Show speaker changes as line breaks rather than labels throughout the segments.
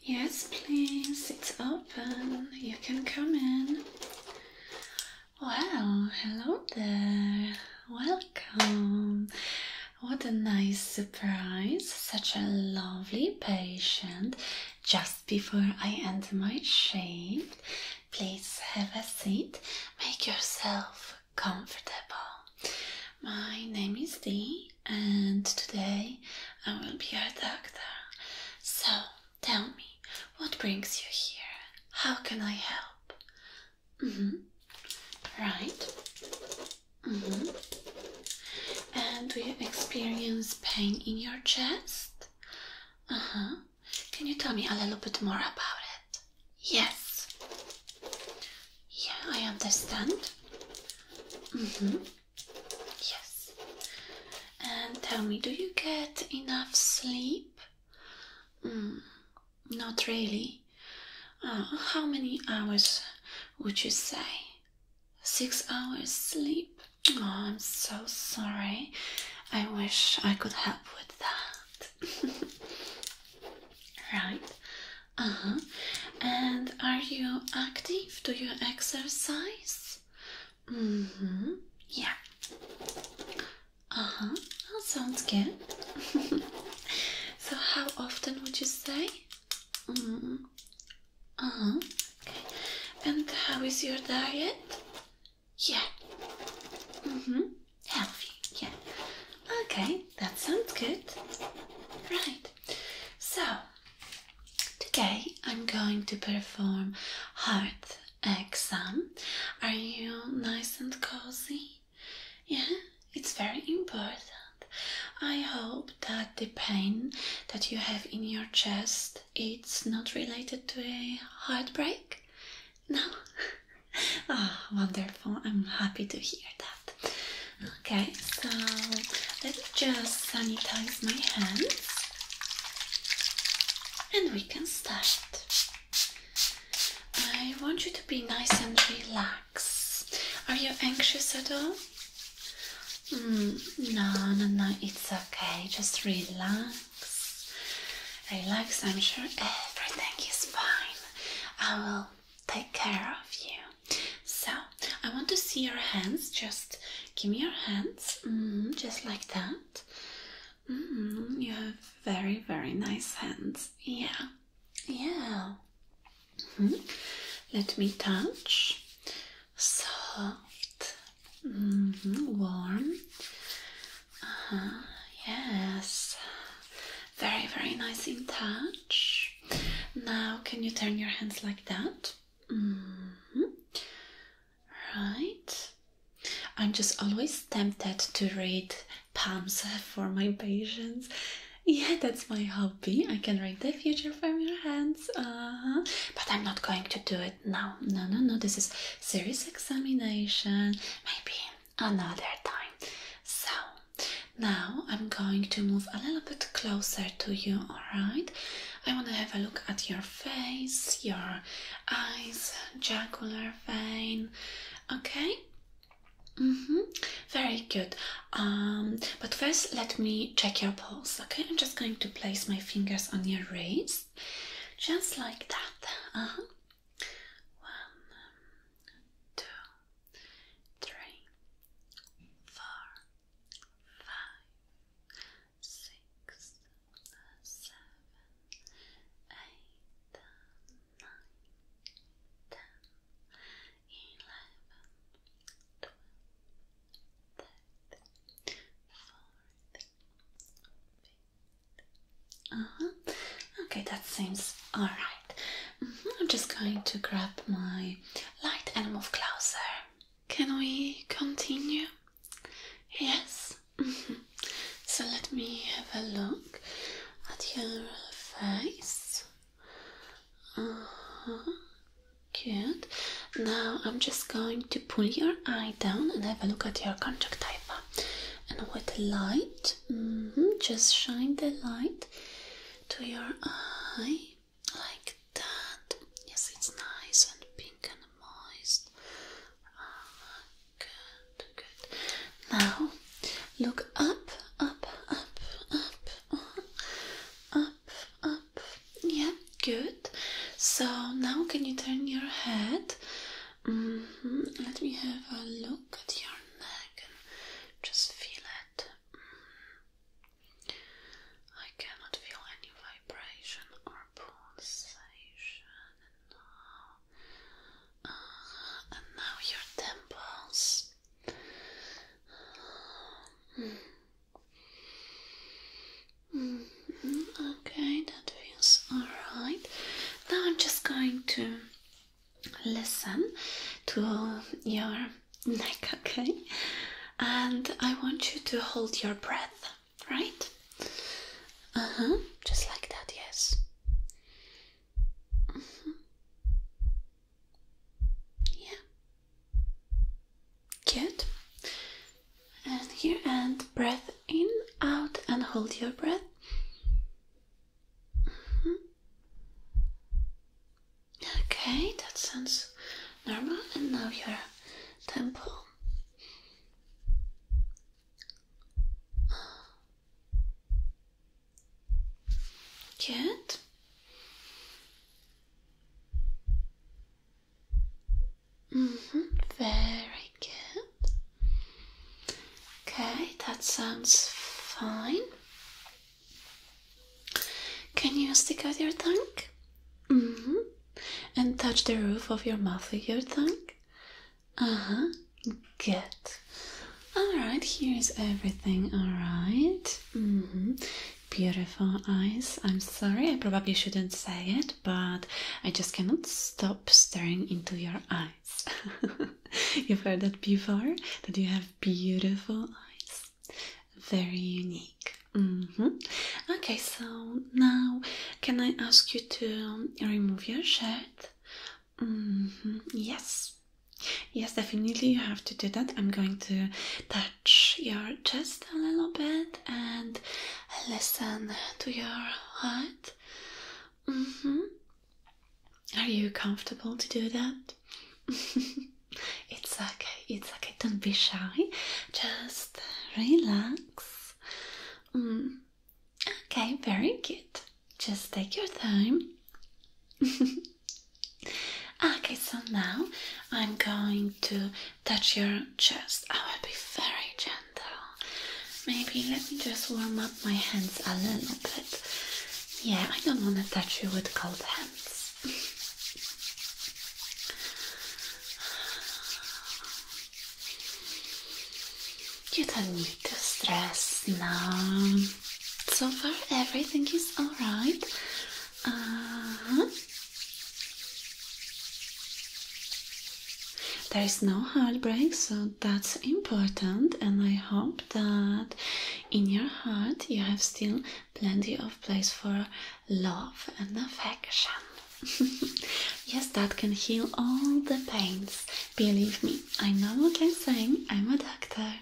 Yes, please, it's open. You can come in. Wow, hello there. Welcome. What a nice surprise. Such a lovely patient. Just before I enter my shift, please have a seat. Make yourself comfortable. My name is Dee, and today I will be your doctor. So tell me, what brings you here? How can I help? Mm hmm. Right. Mm hmm. And do you experience pain in your chest? Uh huh. Can you tell me a little bit more about it? Yes. Yeah, I understand. Mm-hmm. Yes. And tell me, do you get enough sleep? Mm, not really. Uh, how many hours would you say? Six hours sleep? Oh, I'm so sorry. I wish I could help with that. right. Uh huh. And are you active? Do you exercise? Mm hmm. Yeah. Uh huh. That sounds good. so, how often would you say? Mm -hmm. Uh huh. Okay. And how is your diet? Yeah. Mm hmm. Healthy. Yeah. Okay. That sounds good. Right. So, today I'm going to perform heart exam. Are you nice and cozy? Yeah, it's very important. I hope that the pain that you have in your chest it's not related to a heartbreak. No? Ah, oh, wonderful. I'm happy to hear that. Okay, so let me just sanitize my hands and we can start. I want you to be nice and relax. Are you anxious at all? Hmm, no, no, no, it's okay. Just relax. Relax, I'm sure everything is fine. I will take care of you. So, I want to see your hands. Just give me your hands, mm, just like that. Mm, you have very, very nice hands. Yeah, yeah. Mm-hmm. Let me touch. Soft, mm-hmm. warm. Uh -huh. Yes. Very, very nice in touch. Now, can you turn your hands like that? Mm-hmm. Right. I'm just always tempted to read palms for my patients. Yeah, that's my hobby. I can read the future from your hands. Uh-huh. But I'm not going to do it now. No, no, no. This is serious examination. Maybe another time. So, now I'm going to move a little bit closer to you, alright? I want to have a look at your face, your eyes, jugular vein, okay? hmm Very good. Um, but first, let me check your pulse. Okay, I'm just going to place my fingers on your wrist, just like that. Uh-huh. One, two, three, four, five, six, seven, eight, nine, ten, eleven, twelve, thirty, forty, fifty. Uh-huh. Okay, that seems all right. Mm-hmm. I'm just going to grab my light and move closer. Can we continue? Yes. Mm-hmm. So let me have a look at your face. Uh Good. Now I'm just going to pull your eye down and have a look at your conjunctiva. And with the light, mm-hmm, just shine the light to your eye like that. Yes, it's nice and pink and moist. Ah, good, good. Now look up, up, up, up, uh, up, up. Yeah, good. So now can you turn your head? Mm -hmm. Let me have a look at your neck and just feel it. I cannot feel any vibration or pulsation now. Uh, and now your temples. Mm-hmm. Mm-hmm. Okay, that feels alright. Now I'm just going to listen to your neck, okay? And I want you to hold your breath, right? Uh huh, just like that, yes. Uh-huh. Yeah. Good. And here, and breath in, out, and hold your breath. Mm-hmm. Okay, that sounds normal. And now your temple. Good. -hmm. Very good. Okay, that sounds fine. Can you stick out your tongue? Mm-hmm. And touch the roof of your mouth with your tongue? Uh huh. Good. Alright, here's everything, alright? -hmm. Beautiful eyes. I'm sorry, I probably shouldn't say it, but I just cannot stop staring into your eyes. You've heard that before, that you have beautiful eyes. Very unique. Mm-hmm. Okay, so now can I ask you to um, remove your shirt? Mm-hmm. Yes. Yes, definitely you have to do that. I'm going to touch your chest a little bit and listen to your heart. Mm-hmm. Are you comfortable to do that? it's okay, it's okay, don't be shy, just relax. Mm. Okay, very good. Just take your time. okay, so now I'm going to touch your chest. I will be very gentle. Maybe let me just warm up my hands a little bit. Yeah, I don't want to touch you with cold hands. you don't need to stress now. So far, everything is alright. Uh-huh. There is no heartbreak, so that's important, and I hope that in your heart you have still plenty of place for love and affection. yes, that can heal all the pains. Believe me, I know what I'm saying, I'm a doctor.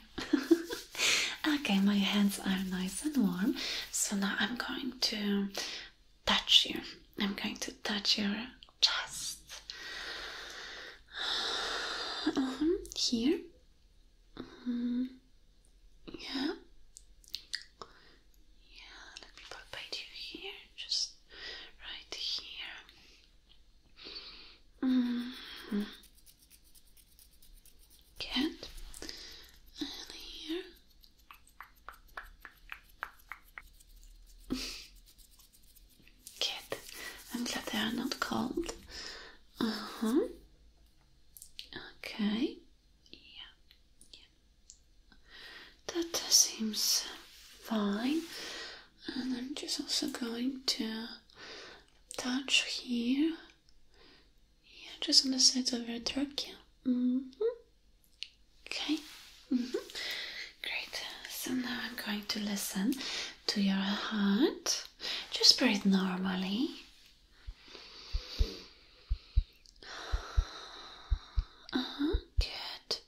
okay, my hands are nice and warm, so now I'm going to touch you. I'm going to touch your chest. Um, here Mm, yeah. Yeah, let me palpate you here, just right here. Mm here. Good. I'm glad they are not cold. Uh huh. Okay. Yeah. yeah. That seems fine. And I'm just also going to touch here. Yeah, just on the sides of your trachea. Mm-hmm. Okay. Mm hmm. Great. So now I'm going to listen to your heart. Just breathe normally. Uh huh, good.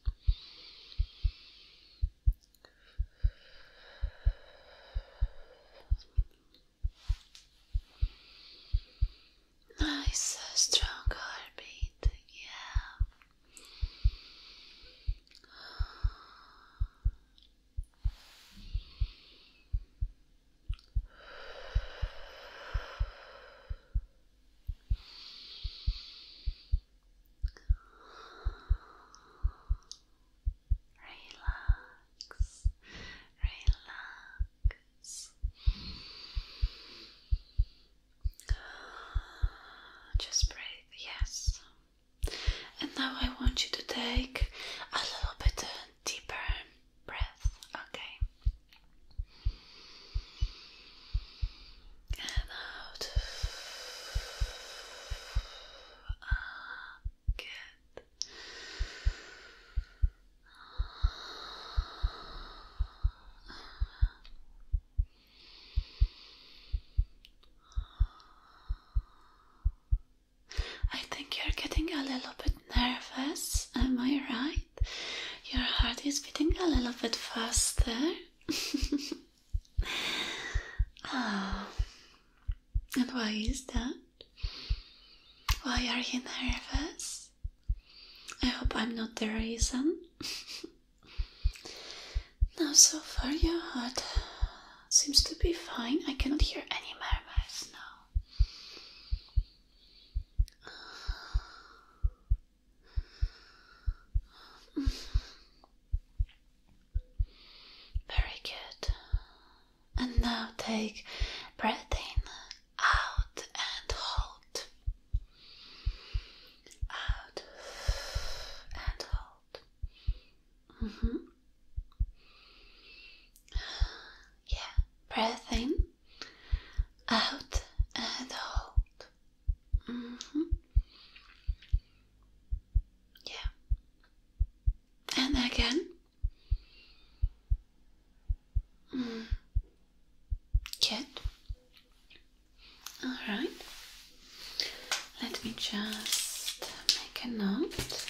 Nice, uh, strong heartbeat, yeah. Relax, relax. Just breathe, yes, and now I want you to take a little bit deeper breath, okay? And out. Ah, good. I think you're getting a little bit nervous, am I right? Your heart is beating a little bit faster. oh. And why is that? Why are you nervous? I hope I'm not the reason. Now, so far, your heart seems to be fine. I cannot hear any murmurs now. Very good. And now take breath out, and hold. Out and hold. Mm -hmm. Yeah, breath in, out, and hold. Mm -hmm. Yeah, and again. Mm. Good. All right. Let me just make a note.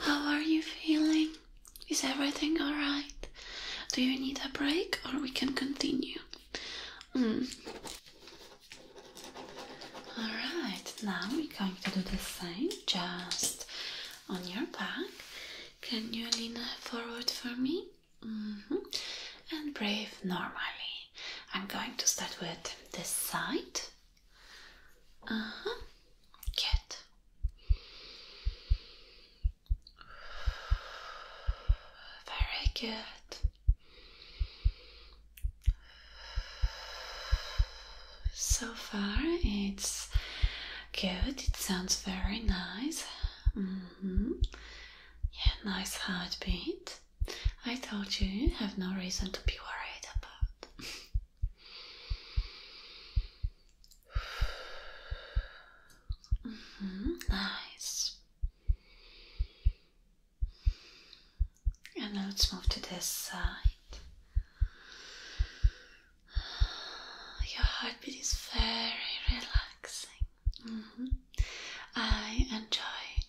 How are you feeling? Is everything alright? Do you need a break or we can continue? Mm. Alright, now we're going to do the same. Just on your back. Can you lean forward for me? Mm-hmm. And breathe normally. I'm going to start with this side. Uh huh. Good. Very good. So far, it's Good, it sounds very nice. Mm-hmm. Yeah, nice heartbeat. I told you you have no reason to be worried about. Mm-hmm. nice. And let's move to this side. Your heartbeat is very relaxing. Mm-hmm. I enjoy.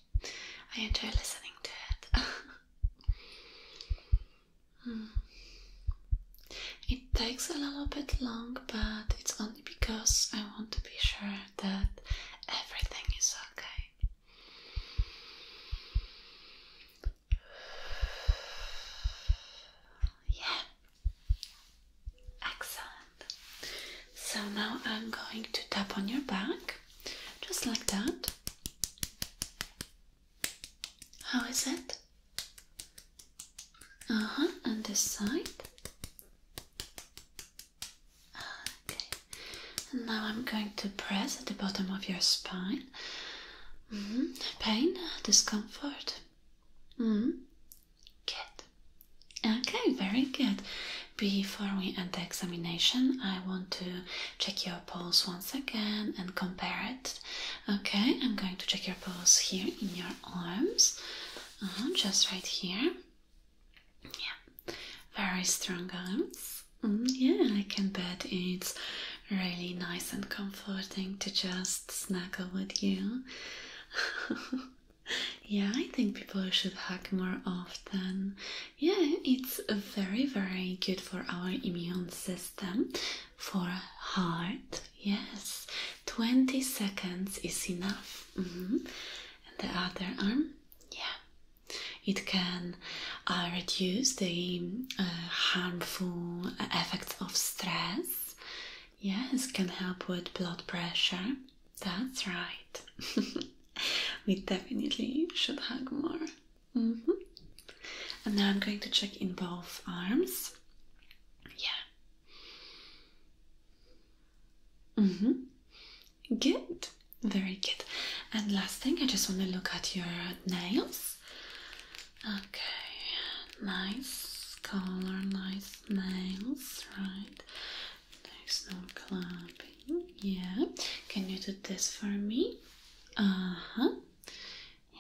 I enjoy listening to it. Hmm. It takes a little bit long, but it's only because I want to be sure that everything is okay. Yeah. Excellent. So now I'm going to tap on your back, just like that. How is it? Uh huh. And this side. Ah, okay. And now I'm going to press at the bottom of your spine Mm-hmm. Pain, discomfort. Mm-hmm. Good. Okay, very good. Before we end the examination, I want to check your pulse once again and compare it. Okay, I'm going to check your pulse here in your arms, uh-huh, just right here. Yeah, very strong arms. Mm, yeah, I can bet it's really nice and comforting to just snuggle with you. yeah, I think people should hug more often. Yeah, it's very, very good for our immune system, for heart. Yes, 20 seconds is enough. Mm-hmm. And the other arm, yeah, it can uh, reduce the uh, harmful uh, effects of stress. Yes, can help with blood pressure. That's right. we definitely should hug more. Mm-hmm. And now I'm going to check in both arms. Yeah. Mm hmm. Good. Very good. And last thing, I just want to look at your nails. Okay, nice color, nice nails, right? There's no clapping. Yeah, can you do this for me? Uh huh.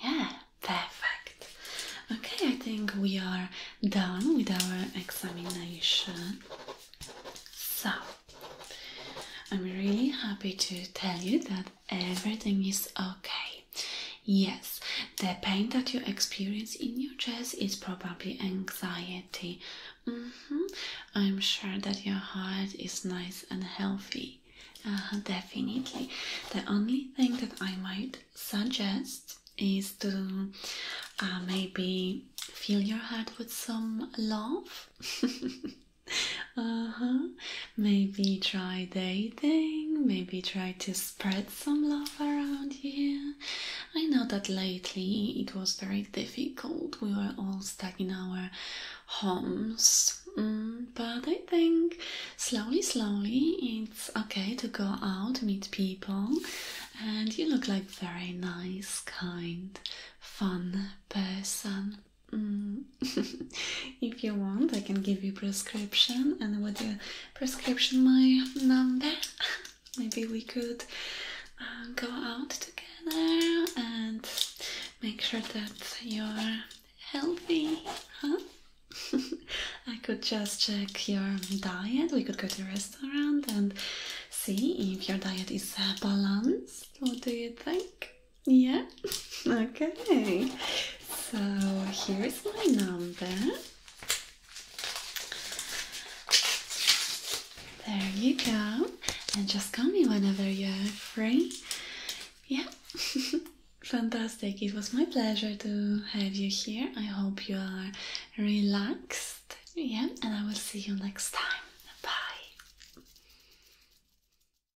Yeah, perfect. Okay, I think we are done with our examination. So, I'm really happy to tell you that everything is okay. Yes, the pain that you experience in your chest is probably anxiety. Mm-hmm. I'm sure that your heart is nice and healthy. Uh-huh, definitely. The only thing that I might suggest is to uh, maybe fill your heart with some love. uh huh. Maybe try dating, maybe try to spread some love around here. I know that lately it was very difficult, we were all stuck in our homes. Mm, but I think slowly, slowly it's okay to go out, meet people, and you look like very nice, kind, fun person. Mm. if you want, I can give you prescription and with the prescription my number. Maybe we could uh, go out together and make sure that you're healthy, huh? I could just check your diet. We could go to restaurant and see if your diet is uh, balanced. What do you think? Yeah? Okay. So here's my number. There you go. And just call me whenever you're free. Yeah. Fantastic. It was my pleasure to have you here. I hope you are relaxed. Yeah, and I will see you next time. Bye.